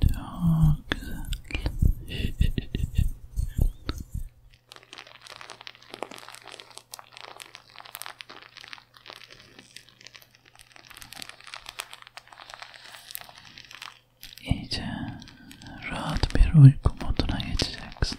Çok güzel. İyice rahat bir uyku moduna geçeceksin.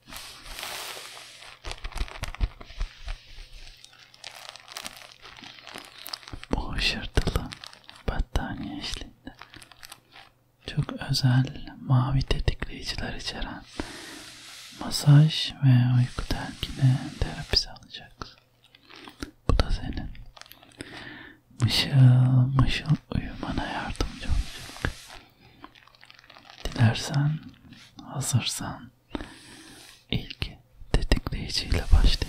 Bu hışırtılı battaniye eşliğinde çok özel mavi tetikleyiciler içeren masaj ve uyku telkini terapisi alacaksın. Bu da senin mışıl mışıl uyumana yardımcı olacak. Dilersen, hazırsan ilk tetikleyiciyle başlayalım.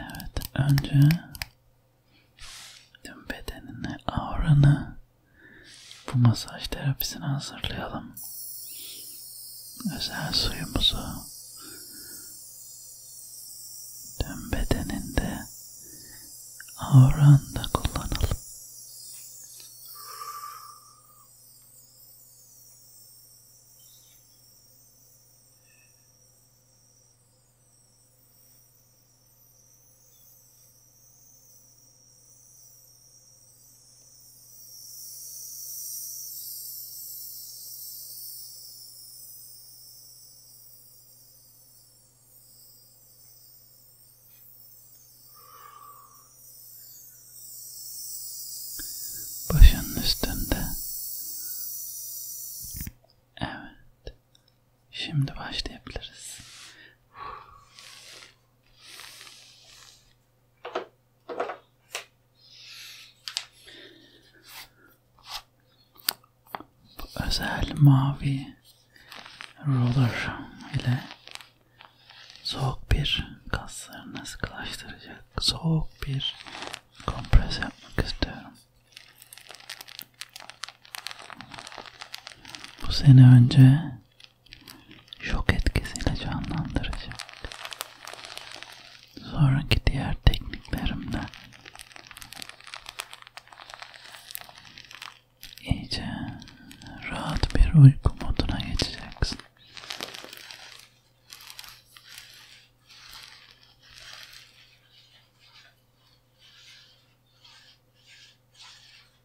Evet, önce tüm bedenini, auranı bu masaj terapisine hazırlayalım özel suyumuzu tüm bedeninde avranda kullanalım. Başının üstünde. Evet. Şimdi başlayabiliriz. Bu özel mavi roller ile soğuk bir kaslarını sıkılaştıracak soğuk bir kompres yapmak istiyorum. Bu sene önce şok etkisiyle canlandıracak. Sonraki diğer tekniklerimde iyice rahat bir uyku moduna geçeceksin.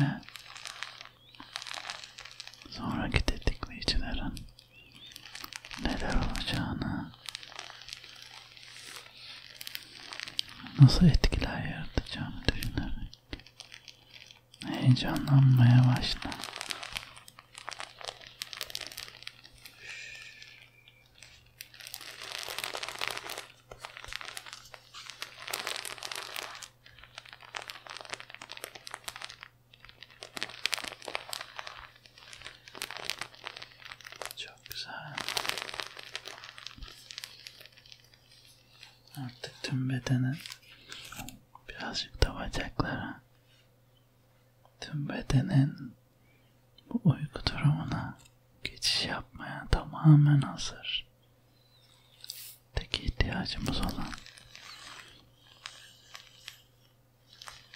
Ve sonraki tetikleyicilerin neler olacağını nasıl etkiler yaratacağımı düşünerek heyecanlanmaya başladım. Çok güzel. Artık tüm bedene birazcık da bacaklara tüm bedenin bu uyku durumuna geçiş yapmaya tamamen hazır. Tek ihtiyacımız olan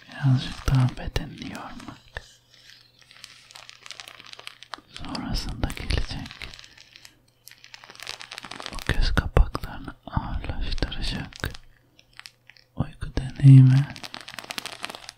birazcık daha bedenini yormak. Sonrasında gelecek o göz kapaklarını ağırlaştıracak uyku deneyimi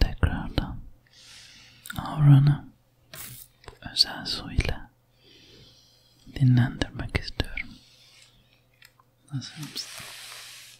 Tekrardan avranı özel su ile dinlendirmek istiyorum. Nasıl mısın?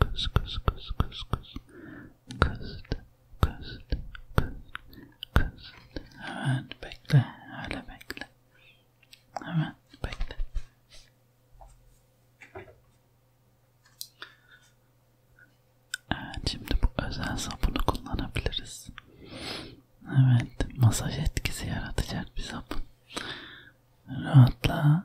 kız kız kız kız kız kızdı kızdı kız kızdı evet bekle öyle bekle hemen bekle evet şimdi bu özel sapunu kullanabiliriz evet masaj etkisi yaratacak bir sapun rahatla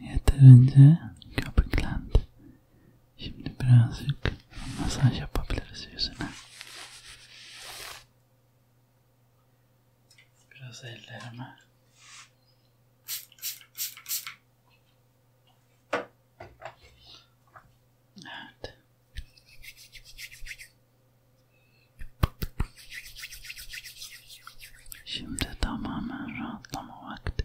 Yeterince köpüklendi. Şimdi birazcık masaj yapabiliriz yüzüne. Biraz ellerime. Evet. Şimdi tamamen rahatlama vakti.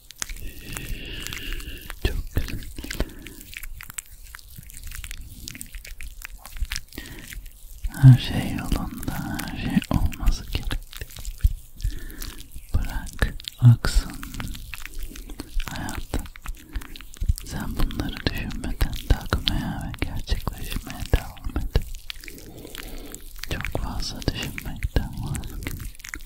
Çok güzel. Her şey yolunda, her şey olması gerekti. Bırak aksın hayat. Sen bunları düşünmeden takmaya ve gerçekleşmeye devam et. Çok fazla düşünmekten vazgeç.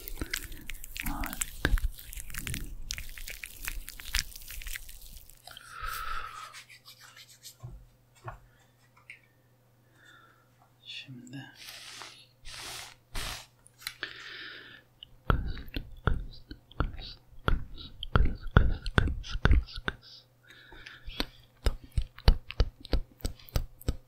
Harika. Şimdi kız kız kız kız kız kız kız kız kız top top top top top top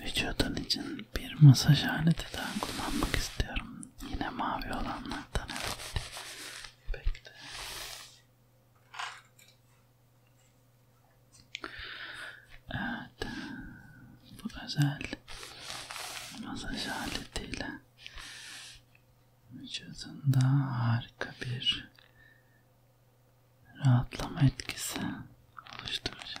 Vücudun için bir masaj aleti daha kullanmak istiyorum. Yine mavi olanlardan evet. Bekle. Evet. Bu özel masaj aletiyle vücudunda harika bir rahatlama etkisi oluşturacağım.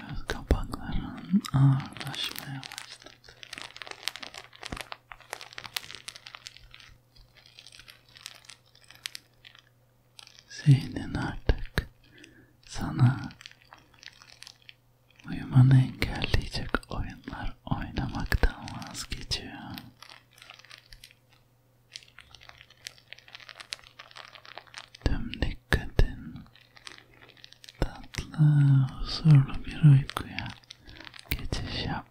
Göz kapakların ağırlaşmaya başladı. Zihnin artık sana Uyumanı engelleyecek oyunlar oynamaktan vazgeçiyor. Tüm dikkatin tatlı, huzurlu bir uykuya geçiş yapmak.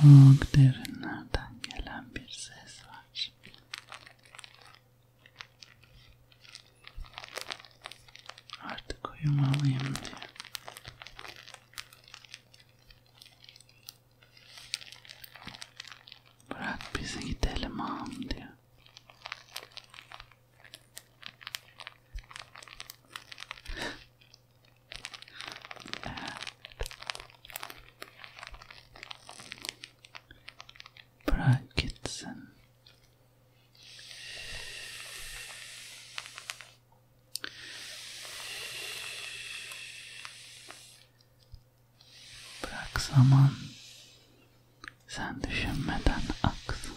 Çok derinlerden gelen bir ses var. Artık uyumalıyım diye. Bırak bizi gidelim ağam diye. Bırak gitsin. Bırak zaman sen düşünmeden aksın.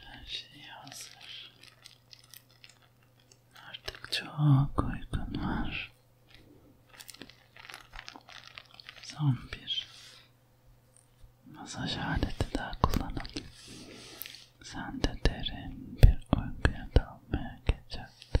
Her şey hazır. Artık çok uygun var. Son bir masaj aleti daha kullanalım. Sen de derin bir uykuya dalmaya geçeceksin.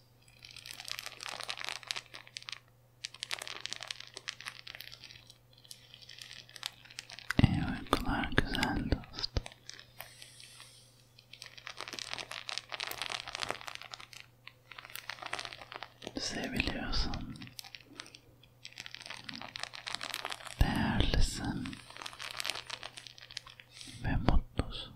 İyi uykular güzel dost. Seviliyorsun. Değerlisin. Ve mutlusun.